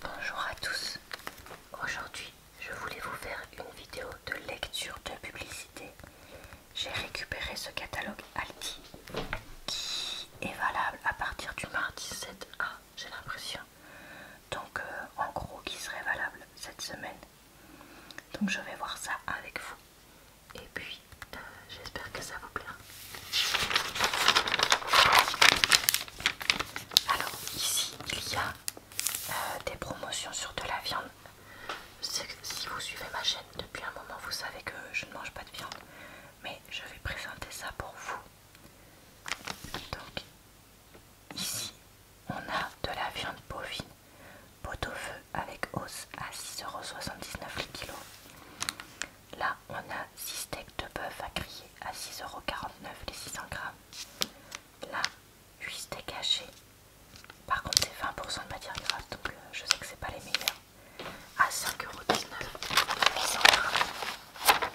Bonjour à tous, aujourd'hui je voulais vous faire une vidéo de lecture de publicité. J'ai récupéré ce catalogue alti qui est valable à partir du mardi 7 A, j'ai l'impression. Donc euh, en gros qui serait valable cette semaine. Donc je vais voir ça avec vous et puis euh, j'espère que ça vous plaira. Alors ici il y a euh, des promotions sur de la viande. Si vous suivez ma chaîne depuis un moment, vous savez que je ne mange pas de viande, mais je vais présenter ça pour vous. Donc ici on a de la viande bovine, pot au feu avec os à 6,79€ le kilo. Là, on a 6 steaks de bœuf à griller à 6,49€ les 600 grammes. Là, 8 steaks hachés. Par contre, c'est 20% de matière grasse, donc euh, je sais que c'est pas les meilleurs. À 5,19€ les 600 grammes.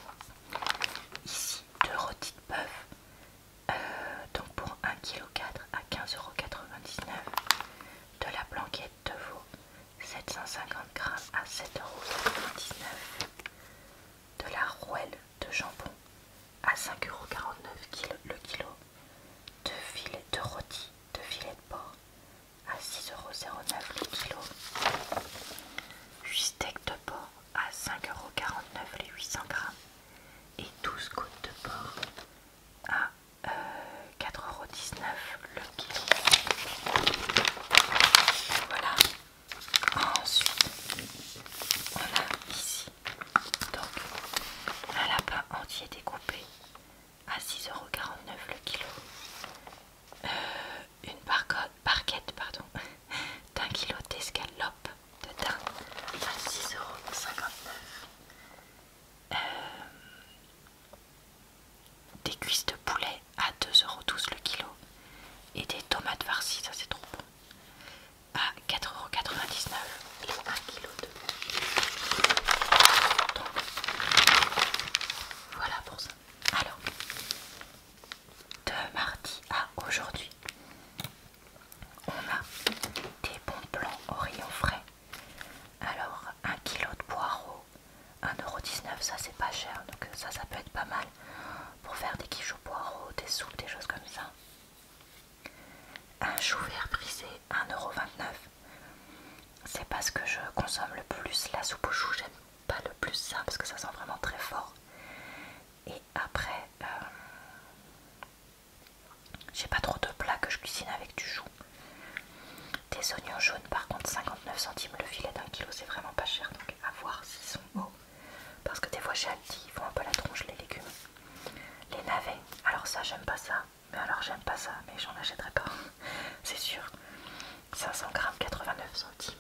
Ici, 2 de bœuf. Euh, donc pour 1,4 kg à 15,99€. De la blanquette de veau, 750 g à 7,99€ de la rouelle de jambon à 5,49€ le kilo, de filets de rôti, de filets de porc à 6,09€ le kilo, 8 steaks de porc à 5,49€ les 800 grammes et 12 gouttes de porc à 4,19€ euh, le kilo. Voilà, Ensuite, on a ici donc un lapin entier découpé à 6,49€ le kilo. Euh, une barquette pardon, d'un kilo d'escalope de dinde à 6,59€ des cuisses de poulet à 2,12€ le kilo et des tomates farcies, ça c'est trop bon, à 4,99€ les 1 kg de Donc voilà pour ça. Alors, de mardi à aujourd'hui, on a des bons plans au rayon frais. Alors, 1 kg de poireaux 1,19€, ça c'est pas cher, donc ça, ça peut être pas mal pour faire des quiches au poireaux, des soupes, des choses comme ça. Un chou vert brisé, 1,29€. C'est parce que je consomme le plus. La soupe au chou, j'aime pas le plus ça parce que ça sent vraiment très fort. Et après, euh, j'ai pas trop de plats que je cuisine avec du chou. Des oignons jaunes, par contre, 59 centimes le filet d'un kilo, c'est vraiment pas cher à voir s'ils sont hauts parce que des fois chez dit ils font un peu la tronche les légumes les navets alors ça j'aime pas ça mais alors j'aime pas ça mais j'en achèterai pas c'est sûr 500 grammes 89 centimes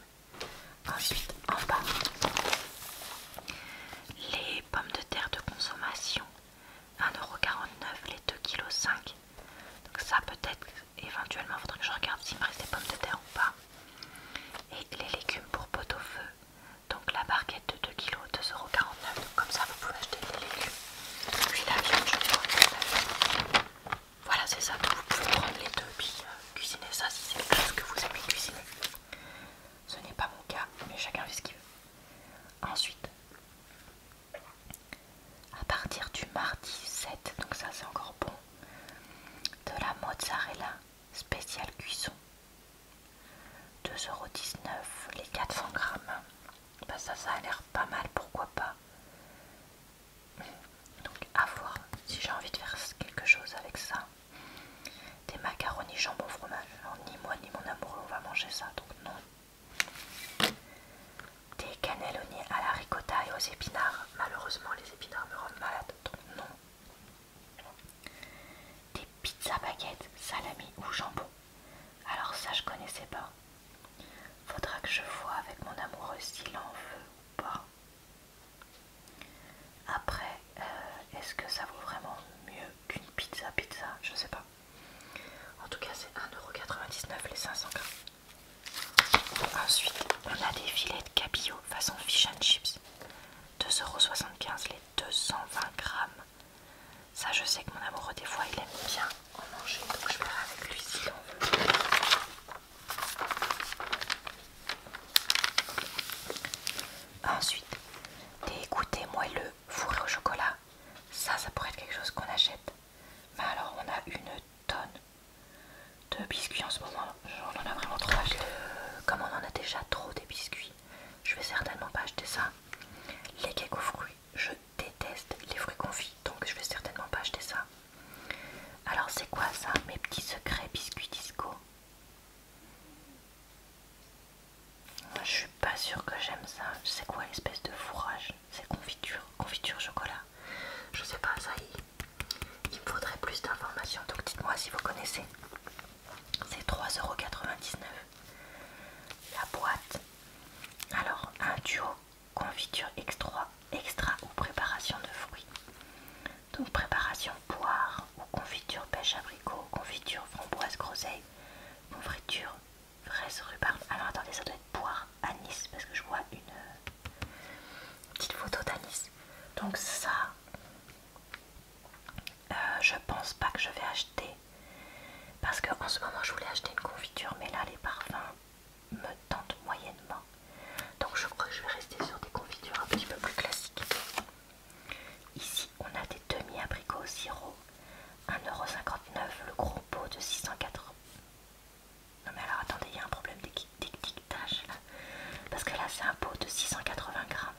ensuite en bas les pommes de terre de consommation 1,49€ les 2,5 kg donc ça peut-être éventuellement il faudrait que je regarde s'il me reste des pommes de terre ou pas. Et les légumes pour pot au feu. Donc la barquette de 2 kg, 2,49€. Donc comme ça vous pouvez acheter des légumes. Puis la viande, je Voilà, c'est ça. Donc vous pouvez prendre les deux puis euh, cuisiner ça si c'est quelque chose que vous aimez cuisiner. Ce n'est pas mon cas, mais chacun fait ce qu'il veut. Ensuite, à partir du mardi 7, donc ça c'est encore bon, de la mozzarella spéciale cuisson. 2,19€ les 400 grammes. Bah, ça, ça a l'air pas mal, pourquoi pas. Donc à voir si j'ai envie de faire quelque chose avec ça. Des macaronis jambon fromage. ni moi ni mon amoureux on va manger ça, donc non des cannelles à la ricotta et aux épinards. Malheureusement, les épinards me rendent malade, donc non. Des pizzas baguettes, salami ou jambon. Alors ça, je connaissais pas. Faudra que je vois avec mon amoureux s'il en veut ou pas. Après, euh, est-ce que ça vaut vraiment mieux qu'une pizza pizza Je sais pas. En tout cas, c'est 1,99€ les 500 grammes. Ensuite, on a des filets de cabillaud façon fish and chips. 2,75€ les 220 grammes. Ça, je sais que mon amoureux, des fois, il aime bien en manger, donc je verrai avec lui si on veut. Ensuite, des goûters moelleux fourrés au chocolat. Ça, ça pourrait être quelque chose qu'on achète. Mais alors, on a une tonnes de biscuits en ce moment. On en a vraiment trop comme on en a déjà trop des biscuits, je vais certainement pas acheter ça. Les cakes aux fruits, je déteste les fruits confits, donc je vais certainement pas acheter ça. Alors c'est quoi ça Mes petits secrets biscuits disco Je suis pas sûre que j'aime ça. C'est quoi l'espèce de fourrage c'est confiture, confiture chocolat. Je sais pas, ça il, il me faudrait plus d'informations, donc dites-moi si vous connaissez. C'est 3,99€. La boîte. Alors, un duo confiture extra, extra ou préparation de fruits. Donc préparation poire ou confiture pêche abricot, confiture framboise groseille, confiture fraise rhubarbe. Alors attendez, ça doit être poire anis parce que je vois une Petite photo d'Anis, Donc ça, euh, je pense pas que je vais acheter. Parce que en ce moment, je voulais acheter une confiture, mais là, les parfums me tentent moyennement. Donc je crois que je vais rester sur des confitures un petit peu plus classiques. Ici, on a des demi-abricots euro sirop. 1,59€ le gros pot de quatre. Non mais alors attendez, il y a un problème d'étiquetage là. Parce que là c'est un pot de 680 grammes.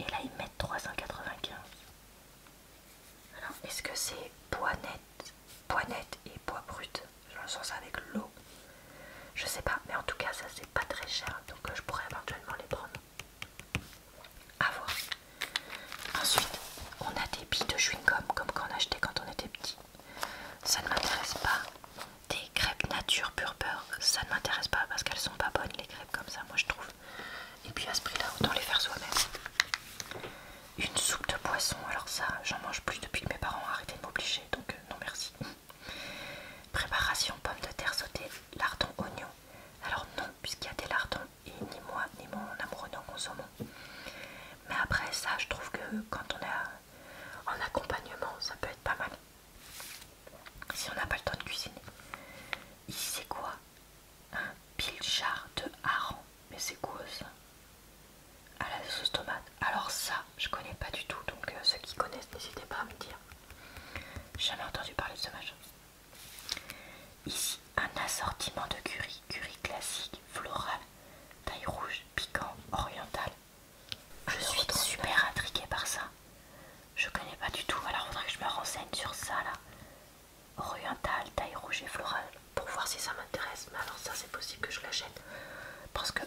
Et là ils mettent 395. Alors est-ce que c'est poids net, et poids brut Je le sens avec l'eau. Je sais pas, mais en tout cas ça c'est pas très cher. Donc euh, je pourrais éventuellement les prendre. À voir. Ensuite, on a des billes de chewing-gum comme qu'on achetait quand on était petit ça ne m'intéresse pas. Des crêpes nature pure beurre, ça ne m'intéresse pas parce qu'elles sont pas bonnes les crêpes comme ça, moi je trouve. Et puis à ce prix-là, autant les faire soi-même. Une soupe de poisson, alors ça, j'en mange plus depuis que mes parents ont arrêté de m'obliger, donc euh, non merci. Préparation pommes de terre sautées lardons, oignons. Alors non, puisqu'il y a des lardons et ni moi ni mon amoureux n'en consommons. Mais après ça, je trouve que quand on est en accompagnement, ça peut être pas mal. Si on n'a pas le temps de cuisiner. Ici, c'est quoi Un pilchard de hareng. Mais c'est quoi ça À la sauce tomate. Alors ça, je connais pas du tout. Donc euh, ceux qui connaissent, n'hésitez pas à me dire. Jamais entendu parler de ce machin. Ici, un assortiment de curry. Curry classique, floral, taille rouge, piquant, oriental. Ah, je suis super intriguée par ça. Je connais pas du tout, alors faudrait que je me renseigne sur ça là. Oriental, taille rouge et floral Pour voir si ça m'intéresse, mais alors ça c'est possible que je l'achète. Parce que 1,39€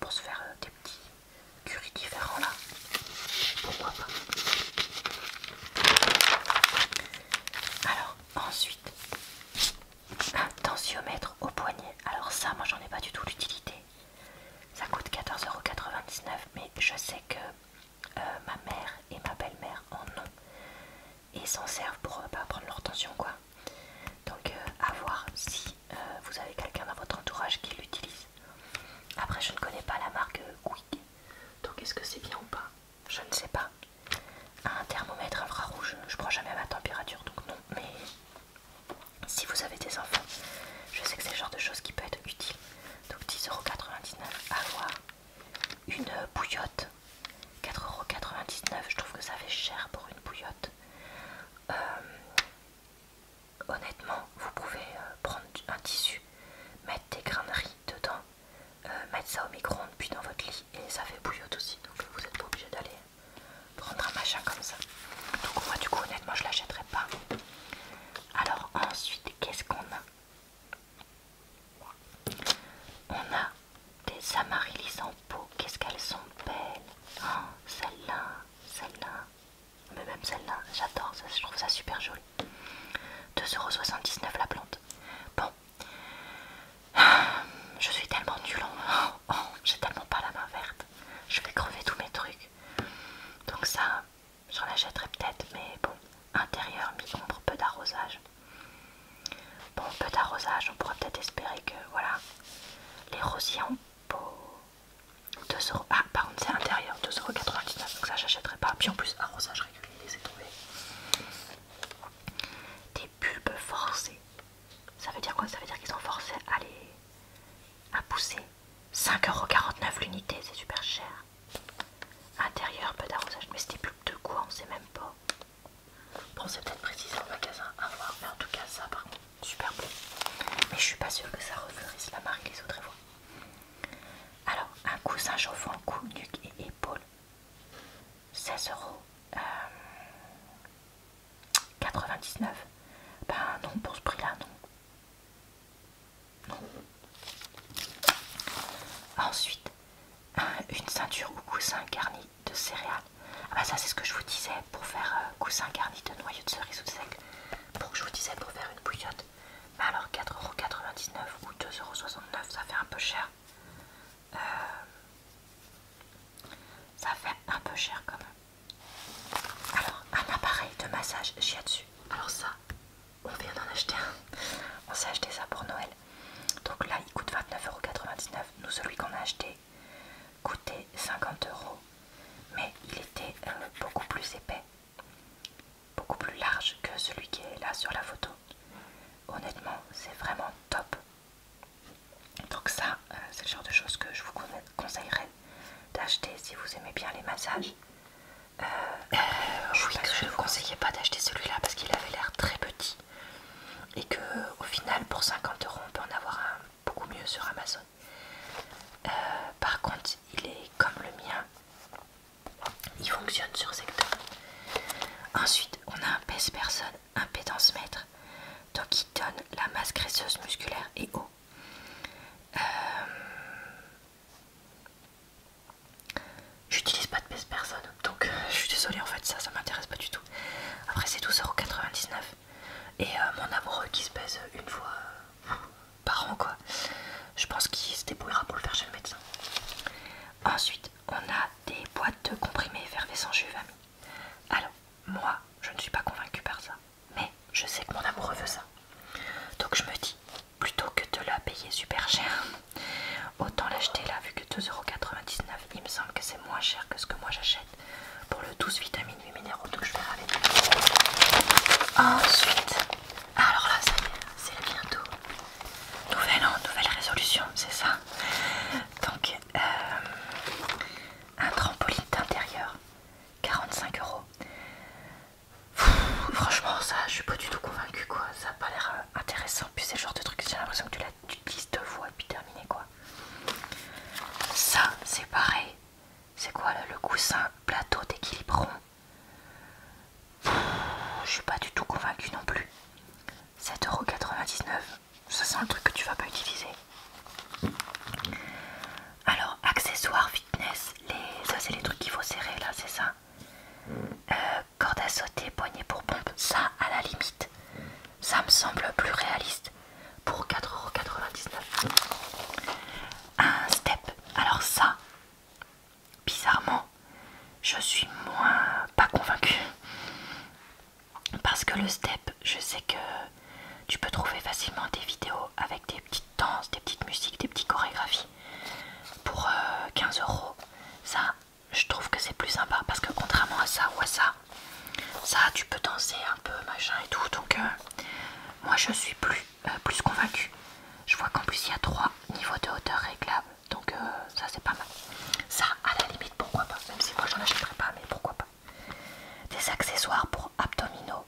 pour se faire euh, des petits curies différents là. Pourquoi pas Alors ensuite, un tensiomètre au poignet. Alors ça, moi j'en ai pas du tout l'utilité. Ça coûte 14,99€, mais je sais que euh, ma mère et ma belle-mère en ont et s'en servent pour euh, bah, prendre leur tension quoi. Donc euh, à voir si vous avez quelqu'un dans votre entourage qui l'utilise. Après je ne connais pas la marque Quick, donc est-ce que c'est bien ou pas je ne sais pas. Un thermomètre infrarouge, je prends jamais ma température donc non, mais si vous avez des enfants, je sais que c'est le genre de choses qui peut être utile. Donc 10,99€ à avoir Une bouillotte, 4,99€, je trouve que ça fait cher pour une bouillotte. Euh, honnêtement, vous pouvez euh, prendre un tissu, mettre des grains dedans euh, mettre ça au micro-ondes puis dans votre lit et ça fait bouillotte aussi donc vous êtes pas obligé d'aller prendre un machin comme ça donc moi du coup honnêtement je l'achèterai pas alors ensuite qu'est-ce qu'on a on a des amaryllis en peau qu'est-ce qu'elles sont belles oh, celle-là celle-là mais même celle-là j'adore ça je trouve ça super joli 2,79€ la plante bon Je suis tellement nul j'ai tellement pas la main verte. Je vais crever tous mes trucs. Donc ça, j'en achèterai peut-être, mais bon, intérieur, mi peu d'arrosage. Bon, peu d'arrosage, on pourrait peut-être espérer que, voilà, les rosiers en pot, 2€, euros... ah par contre c'est intérieur, 2,99€, donc ça j'achèterai pas, puis en plus arrosage régulier, les trouvé des bulbes forcés. Ça veut dire quoi Ça veut dire qu'ils sont forcés à les à pousser. 5,49€ l'unité, c'est super cher. Intérieur, peu d'arrosage, mais c'est des bulbes de quoi On sait même pas. Bon, c'est peut-être précisé en magasin à voir, mais en tout cas, ça par contre, super beau. Mais je suis pas sûre que ça referisse la marque les autres fois Alors, un coussin chauffant, cou, nuque et épaule. 16,99€ euh, Ben non, pour ce prix-là, non. Non. Ensuite, une ceinture ou coussin garni de céréales. Ah ben ça, c'est ce que je vous disais pour faire euh, coussin garni de noyau de cerise ou de sec. Pour que je vous disais pour faire une bouillotte. Mais bah alors 4,99€ ou 2,69€, ça fait un peu cher. Euh, ça fait un peu cher quand même. Alors, un appareil de massage là-dessus. Alors ça, on vient d'en acheter un. On s'est acheté ça pour Noël. Donc là, il coûte 29,99€. Nous, celui qu'on a acheté coûtait euros. Mais il était euh, beaucoup plus épais, beaucoup plus large que celui qui est là sur la photo honnêtement c'est vraiment top donc ça euh, c'est le genre de chose que je vous conseillerais d'acheter si vous aimez bien les massages euh, euh, je ne vous conseillais pas d'acheter celui-là parce qu'il avait l'air très petit et que au final pour 50 euros on peut en avoir un beaucoup mieux sur Amazon par contre il est comme le mien il fonctionne sur secteur. Ensuite, on a un pèse-personne, un mètre, donc qui donne la masse graisseuse musculaire et eau. Euh, j'utilise pas de pèse-personne, donc euh, je suis désolée en fait, ça, ça m'intéresse pas du tout. Après, c'est 12,99€. Et euh, mon amoureux qui se pèse une fois par an, quoi. Je pense qu'il se débrouillera pour le faire chez le médecin. Ensuite, on a des boîtes de comprimés effervescents jus Alors, moi, je ne suis pas convaincue par ça, mais je sais que mon amoureux veut ça. Donc je me dis, plutôt que de la payer super cher, autant l'acheter là, vu que 2,99€, il me semble que c'est moins cher que ce que moi j'achète pour le 12 vitamines 8 minéraux, que je vais avec. Ensuite, alors là, ça y c'est bientôt Nouvelle nouvelle résolution, c'est ça. Donc, euh, un trampoline d'intérieur, 45 euros. franchement, ça, je suis pas du tout convaincue quoi. Ça a pas l'air euh, intéressant. Puis c'est genre de truc, j'ai l'impression que tu l'utilises deux fois et puis terminé quoi. Ça, c'est pareil. C'est quoi le, le coussin plateau d'équilibre je suis pas du tout convaincue non plus. 7,99€, ça sent le truc que tu vas pas utiliser. Alors, accessoires fitness, les... ça c'est les trucs qu'il faut serrer là, c'est ça. Euh, Cordes à sauter, poignée pour pompe, ça à la limite, ça me semble plus réaliste pour 4,99€. Un step, alors ça, Bizarrement, je suis moins pas convaincue. Parce que le step, je sais que tu peux trouver facilement des vidéos avec des petites danses, des petites musiques, des petites chorégraphies pour 15 euh, euros. Ça, je trouve que c'est plus sympa parce que contrairement à ça ou à ça, ça tu peux danser un peu machin et tout. Donc euh, moi je suis plus, euh, plus convaincue. Je vois qu'en plus il y a trois niveaux de hauteur réglables donc euh, ça c'est pas mal. Ça à la limite pourquoi pas, même si moi j'en achèterai pas, mais pourquoi pas. Des accessoires pour abdominaux,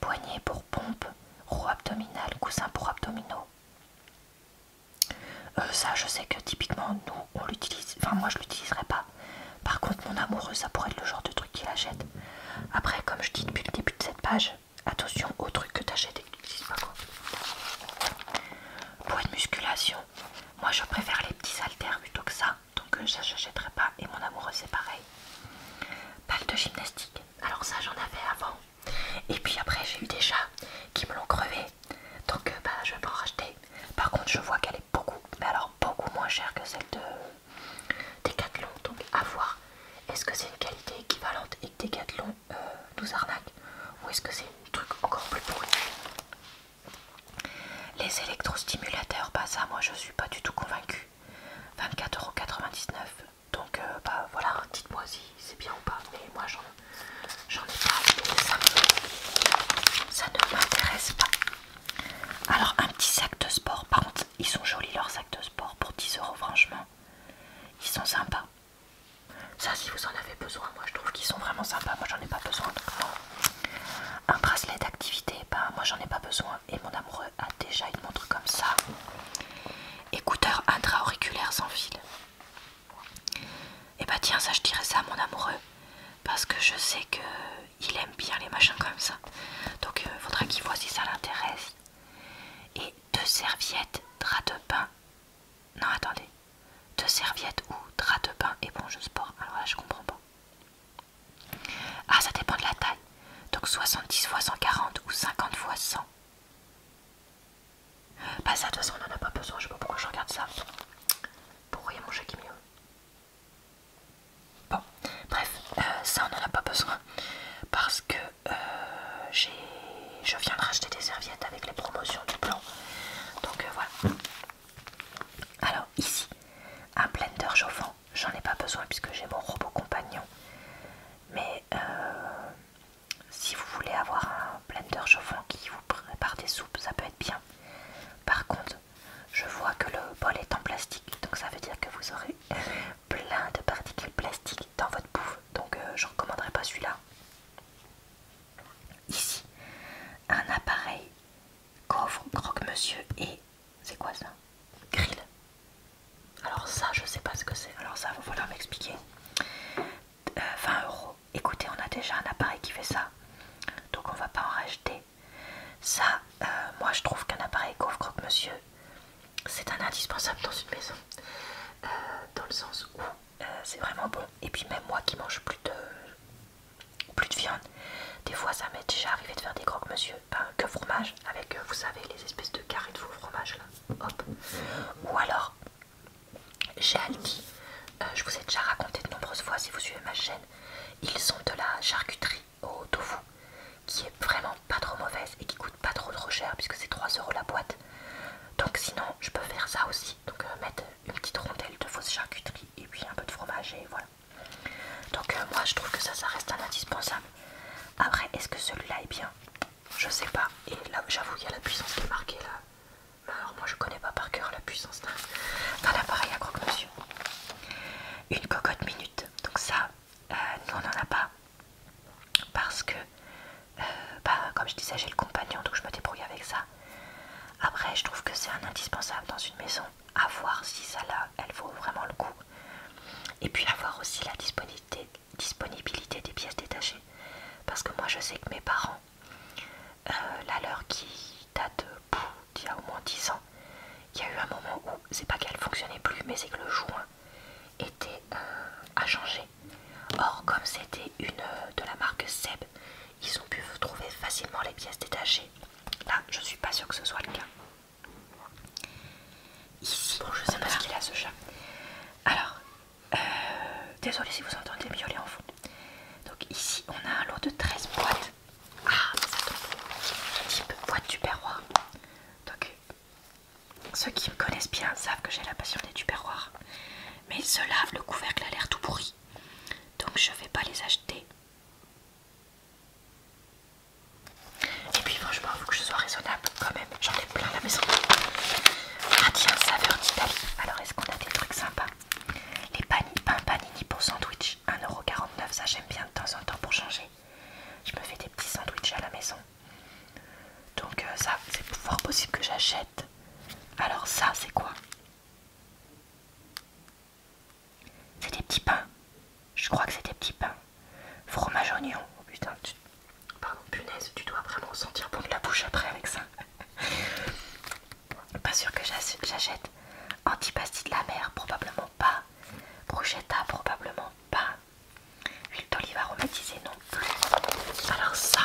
poignées pour pompe, roue abdominale, coussin pour abdominaux. Euh, ça je sais que typiquement nous on l'utilise, enfin moi je l'utiliserai pas. Par contre mon amoureux ça pourrait être le genre de truc qu'il achète. Après comme je dis depuis le début de cette page, Attention aux trucs que t'achètes et que tu n'utilises pas quoi. Pour de musculation, moi je préfère les petits haltères plutôt que ça. Donc euh, ça j'achèterai pas. Et mon amoureux c'est pareil. Balle de gymnastique. Alors ça j'en avais avant. Et puis après j'ai eu des qui me l'ont crevé. Donc euh, bah, je vais pas en racheter. Par contre je vois qu'elle est beaucoup, mais alors beaucoup moins chère que celle de Decathlon. Donc à voir. Est-ce que c'est une qualité équivalente et que tous euh, arnaques, Ou est-ce que c'est un truc encore plus pourri Les électrostimulateurs, pas bah, ça moi je suis pas du tout convaincue. 24,99€. Donc euh, bah voilà, dites-moi si c'est bien ou pas. Mais moi j'en ai pas. ça, ça ne m'intéresse pas. Alors un petit sac de sport. Par contre, ils sont jolis leurs sacs de sport pour euros. franchement. Ils sont sympas. Ça, si vous en avez besoin, moi je trouve qu'ils sont vraiment sympas. Moi j'en ai pas besoin. Un bracelet d'activité, ben moi j'en ai pas besoin. Et mon amoureux a déjà une montre comme ça. Écouteurs intra-auriculaires sans fil. Et eh bah ben, tiens, ça je dirais ça à mon amoureux. Parce que je sais que il aime bien les machins comme ça. Donc il euh, faudra qu'il voit si ça l'intéresse. Et deux serviettes, drap de bain non, attendez. Deux serviettes ou drap de bain et je sport. Alors là, je comprends pas. Ah, ça dépend de la taille. Donc 70 x 140 ou 50 x 100. Bah, ça, de toute façon, on en a pas besoin. Je sais pas pourquoi je regarde ça. Pour mon jeu qui mieux. Bon, bref, euh, ça, on en a pas besoin. Parce que euh, je viens de racheter des serviettes avec les promotions du plan. Donc euh, voilà. Alors ici, un blender chauffant. J'en ai pas besoin puisque j'ai mon robot compagnon. Mais euh, si vous voulez avoir un blender chauffant qui vous prépare des soupes, ça peut être bien. Par contre, je vois que le bol est en plastique, donc ça veut dire que vous aurez plein de particules plastiques dans votre bouffe, donc euh, je ne recommanderais pas celui-là. Ici, un appareil coffre croque-monsieur et c'est quoi ça Grill. Alors ça, je sais pas ce que c'est. Alors ça, va falloir m'expliquer. 20 euh, euros. Écoutez, on a déjà un appareil qui fait ça, donc on va pas en racheter. Ça, euh, moi, je trouve qu'un appareil coffre croque-monsieur, c'est un indispensable dans une maison, euh, dans le sens où euh, c'est vraiment bon. Et puis même moi qui mange plus de, plus de viande, des fois ça m'est déjà arrivé de faire des croque-monsieur, ben, que fromage, avec euh, vous savez les espèces de carrés de faux fromage là, hop. Ou alors j'ai Aldi, je vous ai déjà raconté de nombreuses fois si vous suivez ma chaîne, ils ont de la charcuterie au tofu qui est vraiment pas trop mauvaise et qui coûte pas trop trop cher puisque c'est 3€ euros la boîte. Donc sinon je peux faire ça aussi. Donc euh, mettre une petite rondelle de fausse charcuterie et puis un peu de fromage et voilà. Donc euh, moi je trouve que ça ça reste un indispensable. Après est-ce que celui-là est bien Je sais pas. Et là j'avoue il y a la puissance qui est marquée là. Alors moi je connais pas par cœur la puissance d'un appareil à croque-monsieur. Une cocotte minute. Donc ça, euh, nous on n'en a pas parce que euh, bah, comme je disais j'ai le compagnon donc je me débrouille avec ça après je trouve que c'est un indispensable dans une maison à voir si ça là elle vaut vraiment le coup et puis avoir aussi la disponibilité, des pièces détachées parce que moi je sais que mes parents euh, la leur qui date d'il y a au moins 10 ans il y a eu un moment où c'est pas qu'elle fonctionnait plus mais c'est que le joint était euh, à changer Or, comme c'était une euh, de la marque Seb, ils ont pu trouver facilement les pièces détachées. Là, je suis pas sûre que ce soit le cas. Ici, je sais pas ce qu'il a ce chat. Alors, euh, désolé si vous entendez miauler en fond. Donc, ici, on a un lot de 13 boîtes. Ah, ça tombe. Type boîte du perrois. Donc, ceux qui me connaissent bien savent que j'ai la passion des tupperwares. Mais ils se lavent, le couvercle a l'air tout pourri. Donc je ne vais pas les acheter. Et puis franchement, faut que je sois raisonnable quand même. J'en ai plein à la maison. Ah tiens, saveur d'Italie. Alors est-ce qu'on a des trucs sympas Les panini, panini pour sandwich. 1,49€, ça j'aime bien de temps en temps pour changer. Je me fais des petits sandwichs à la maison. Donc euh, ça, c'est fort possible que j'achète. Alors ça, c'est quoi C'est des petits pains. Je crois que c'est des petits pains. Fromage oignon. Oh, putain, Pardon, punaise, tu dois vraiment sentir bon de la bouche après avec ça. pas sûr que j'achète. Antipasti de la mer, probablement pas. Bruschetta, probablement pas. Huile d'olive aromatisée non plus. Alors ça,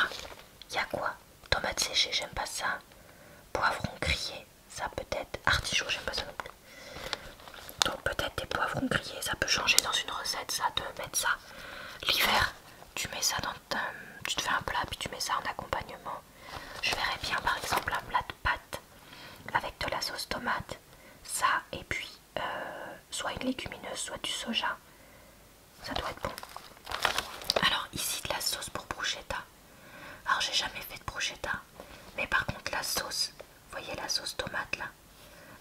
il y a quoi Tomates séchées, j'aime pas ça. Poivrons grillés, ça peut-être. Artichaut, j'aime pas ça non plus. Donc peut-être des poivrons grillés, ça peut changer dans une recette, ça, de mettre ça. L'hiver, tu mets ça dans Tu te fais un plat, puis tu mets ça en accompagnement. Je verrais bien par exemple un plat de pâte avec de la sauce tomate, ça, et puis... Euh, soit une légumineuse, soit du soja. Ça doit être bon. Alors ici de la sauce pour bruschetta. Alors j'ai jamais fait de bruschetta. Mais par contre la sauce, voyez la sauce tomate là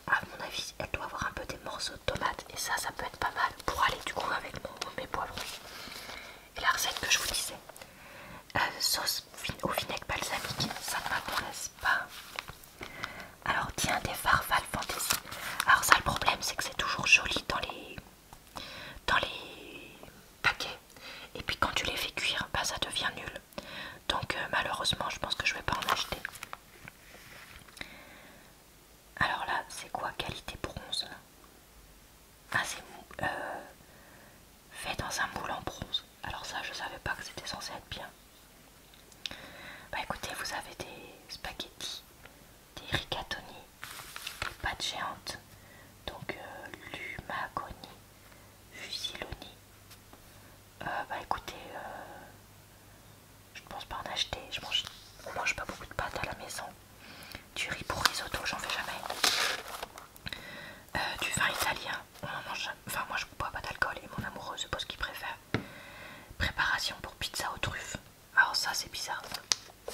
À mon avis, elle doit avoir un peu des morceaux de tomate. Et ça, ça peut être pas mal pour aller du coup avec mes poivrons. Et la recette que je vous disais. Euh, sauce au vinaigre balsamique, ça ne m'intéresse pas. Alors tiens des farfales Fantasy. Alors ça le problème c'est que c'est toujours joli dans les dans les paquets. Et puis quand tu les fais cuire, bah, ça devient nul. Donc euh, malheureusement je pense que je vais pas en acheter. Alors là c'est quoi qualité bronze Ah c'est euh, fait dans un moule en bronze. Alors ça je savais pas que c'était censé être bien. Bah écoutez, vous avez des spaghettis, des ricatoni, des pâtes géantes, donc euh, lumagoni, fusiloni. Euh, bah écoutez, euh, je ne pense pas en acheter. Je mange, mange pas beaucoup de pâtes à la maison. Du riz pour risotto, j'en fais jamais. du vin italien, on en mange. Enfin, moi je bois pas d'alcool et mon amoureux, se pose qu'il préfère préparation pour pizza aux truffes. Alors ça c'est bizarre. Mais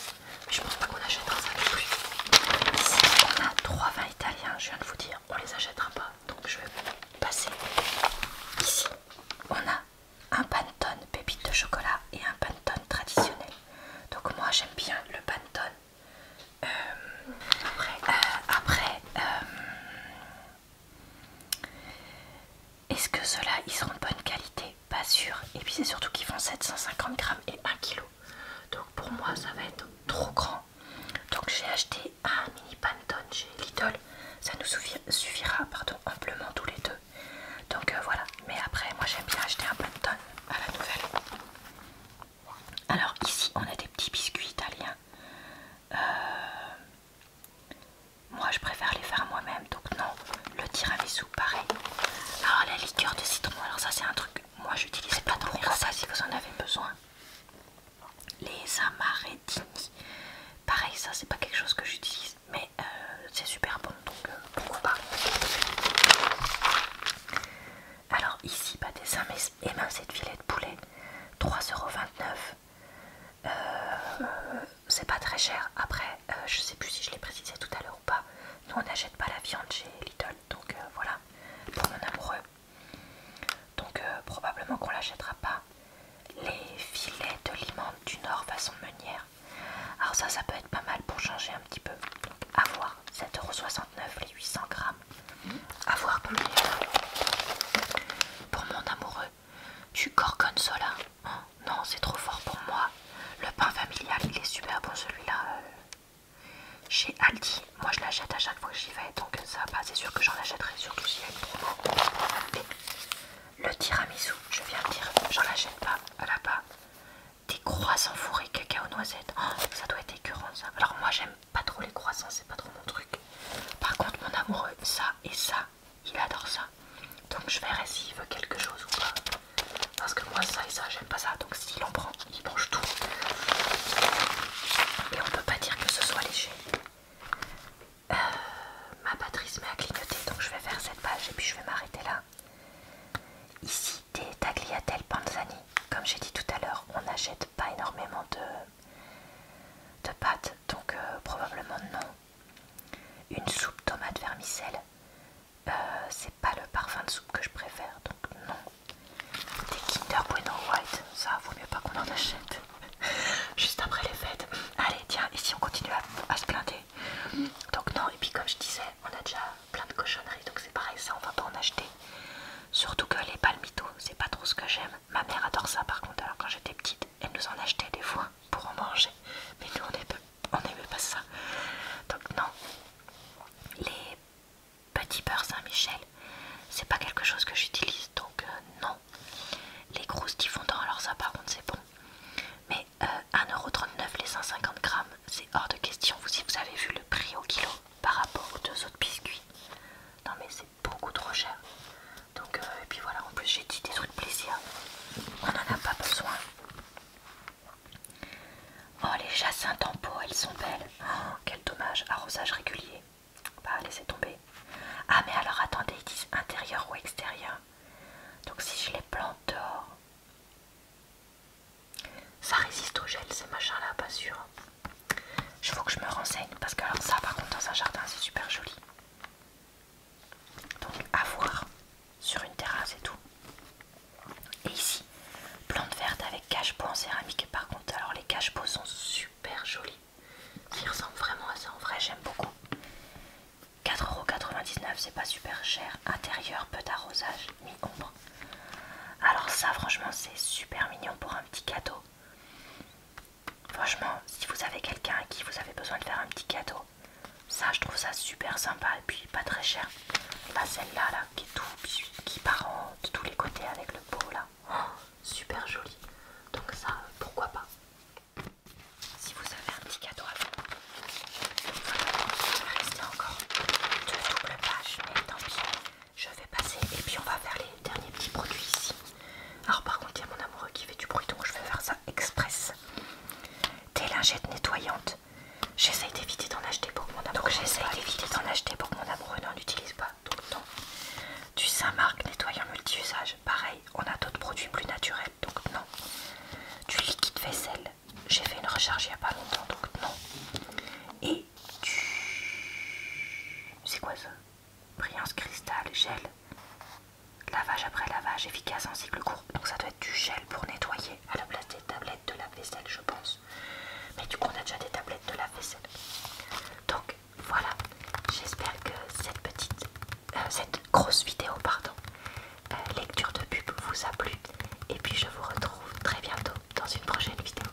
je pense pas qu'on achètera ça les truffes. on a trois vins italiens, je viens de vous dire, on les achètera pas. Donc je vais passer. Ici, on a un Pantone pépite de chocolat et un Pantone traditionnel. Donc moi j'aime bien le Pantone. Euh, après, euh, euh, est-ce que ceux-là, ils seront de bonne qualité Pas sûr. Et puis c'est surtout qu'ils font 750 grammes et 1 kilo. Donc pour moi, ça va être trop grand. Donc j'ai acheté un mini Pantone chez Lidl. Ça nous suffira pardon, amplement tous les deux. Donc euh, voilà. Mais après, moi j'aime bien acheter un Pantone à la nouvelle. Alors ici, on a des petits biscuits italiens. Euh, moi je préfère les faire moi-même donc non le tiramisu pareil. Alors ah, la liqueur de citron alors ça c'est un truc moi j'utilise pas trop. ça si vous en avez besoin. Les amarettini pareil ça c'est pas quelque chose que j'utilise mais euh, c'est super bon donc euh, pourquoi pas. Alors ici pas des émincés de filet de poulet 3,29€ euh, c'est pas très cher. Après, euh, je sais plus si je l'ai précisé tout à l'heure ou pas. Nous, on n'achète pas la viande chez Lidl, donc euh, voilà, pour mon amoureux. Donc, probablement qu'on l'achètera pas. Les filets de limande du Nord façon meunière. Alors, ça, ça peut être pas mal pour changer un petit peu. à voir. 7,69€ les 800 grammes voir combien Pour mon amoureux, Du gorgonzola. Hein. non, c'est trop fort pour moi. Le pain familial, il est super bon celui-là. Euh. Chez Aldi, moi je l'achète à chaque fois que j'y vais, donc ça va, c'est sûr que j'en achèterai, surtout si elle trop Le tiramisu, je viens de dire, j'en achète pas là-bas. Des croissants fourrés cacao noisette, noisettes oh, ça doit être écœurant ça. Alors moi j'aime pas trop les croissants, c'est pas trop mon truc. Par contre, mon amoureux, ça et ça, il adore ça. Donc je verrai s'il veut quelque chose ou pas. Parce que moi, ça et ça, j'aime pas ça. Donc s'il en prend, il mange tout. Et on peut pas dire que ce soit léger. Euh, ma batterie se met à clignoter, donc je vais faire cette page et puis je vais m'arrêter là. Ici, des tagliatelles panzani. Comme j'ai dit tout à l'heure, on n'achète pas énormément de de pâtes, donc euh, probablement non. Une soupe tomate vermicelle, euh, c'est pas le parfum de soupe que je préfère, donc non. Des Kinder Bueno White, ça vaut mieux pas qu'on en achète. Juste après les fêtes. Allez, tiens, ici on continue à, se plaindre, Donc non, et puis comme je disais, on a déjà plein de cochonneries, donc c'est pareil, ça on va pas en acheter. Surtout que les palmitos, c'est pas trop ce que j'aime. Ma mère adore ça par contre, alors quand j'étais petite, elle nous en achetait des fois pour en manger. Mais nous on n'aimait pas ça. Donc non, les petits beurres Saint-Michel, c'est pas quelque chose que j'utilise, donc euh, non. Les qui fondants, alors ça par contre c'est bon. Mais 1,39€ euh, les 150 grammes, c'est hors de question. Vous si vous avez vu le prix au kilo par rapport aux deux autres biscuits. Non mais c'est beaucoup trop cher. Donc, euh, et puis voilà, en plus j'ai dit des trucs de plaisir, on n'en a pas besoin. Oh, les chassins en elles sont belles. Oh, quel dommage, arrosage régulier. Bah, laissez tomber. Ah, mais alors attendez, ils disent intérieur ou extérieur. Donc, si je les plante dehors, ça résiste au gel, ces machins-là, pas sûr. Je faut que je me renseigne parce que alors ça par contre dans un jardin c'est super joli. Donc à voir sur une terrasse et tout. Et ici, plante verte avec cache pots en céramique. Par contre, alors les cache-pots sont super jolis. Ils ressemblent vraiment à ça en vrai, j'aime beaucoup. 4,99€, c'est pas super cher. Intérieur, peu d'arrosage, mi-ombre. Alors ça franchement c'est super mignon pour un petit cadeau. Franchement, si vous avez quelqu'un à qui vous avez besoin de faire un petit cadeau, ça je trouve ça super sympa et puis pas très cher. Bah celle-là là, qui est tout qui part de tous les côtés avec le pot là. Oh, super joli. Donc ça, pourquoi pas Si vous avez un petit cadeau à faire, il va encore deux doubles pages, mais tant pis. Je vais passer et puis on va faire les derniers petits produits ici. Alors par contre il y a mon amoureux qui fait du bruit donc je vais faire ça express. Des lingettes nettoyantes. J'essaie d'éviter d'en acheter pour que mon amoureux. Donc j'essaie d'éviter d'en acheter pour mon amoureux n'en utilise pas Donc le Du Saint-Marc nettoyant multi-usage. Pareil, on a d'autres produits plus naturels donc non. Du liquide vaisselle. J'ai fait une recharge il n'y a pas longtemps donc non. Et du... C'est quoi ça brillance cristal, gel, lavage après lavage, efficace en cycle court. Donc ça doit être du gel pour nettoyer à la place des tablettes de la vaisselle je pense. Mais du coup, on a déjà des tablettes de la vaisselle Donc voilà, j'espère que cette petite, euh, cette grosse vidéo, pardon, euh, lecture de pub vous a plu. Et puis je vous retrouve très bientôt dans une prochaine vidéo.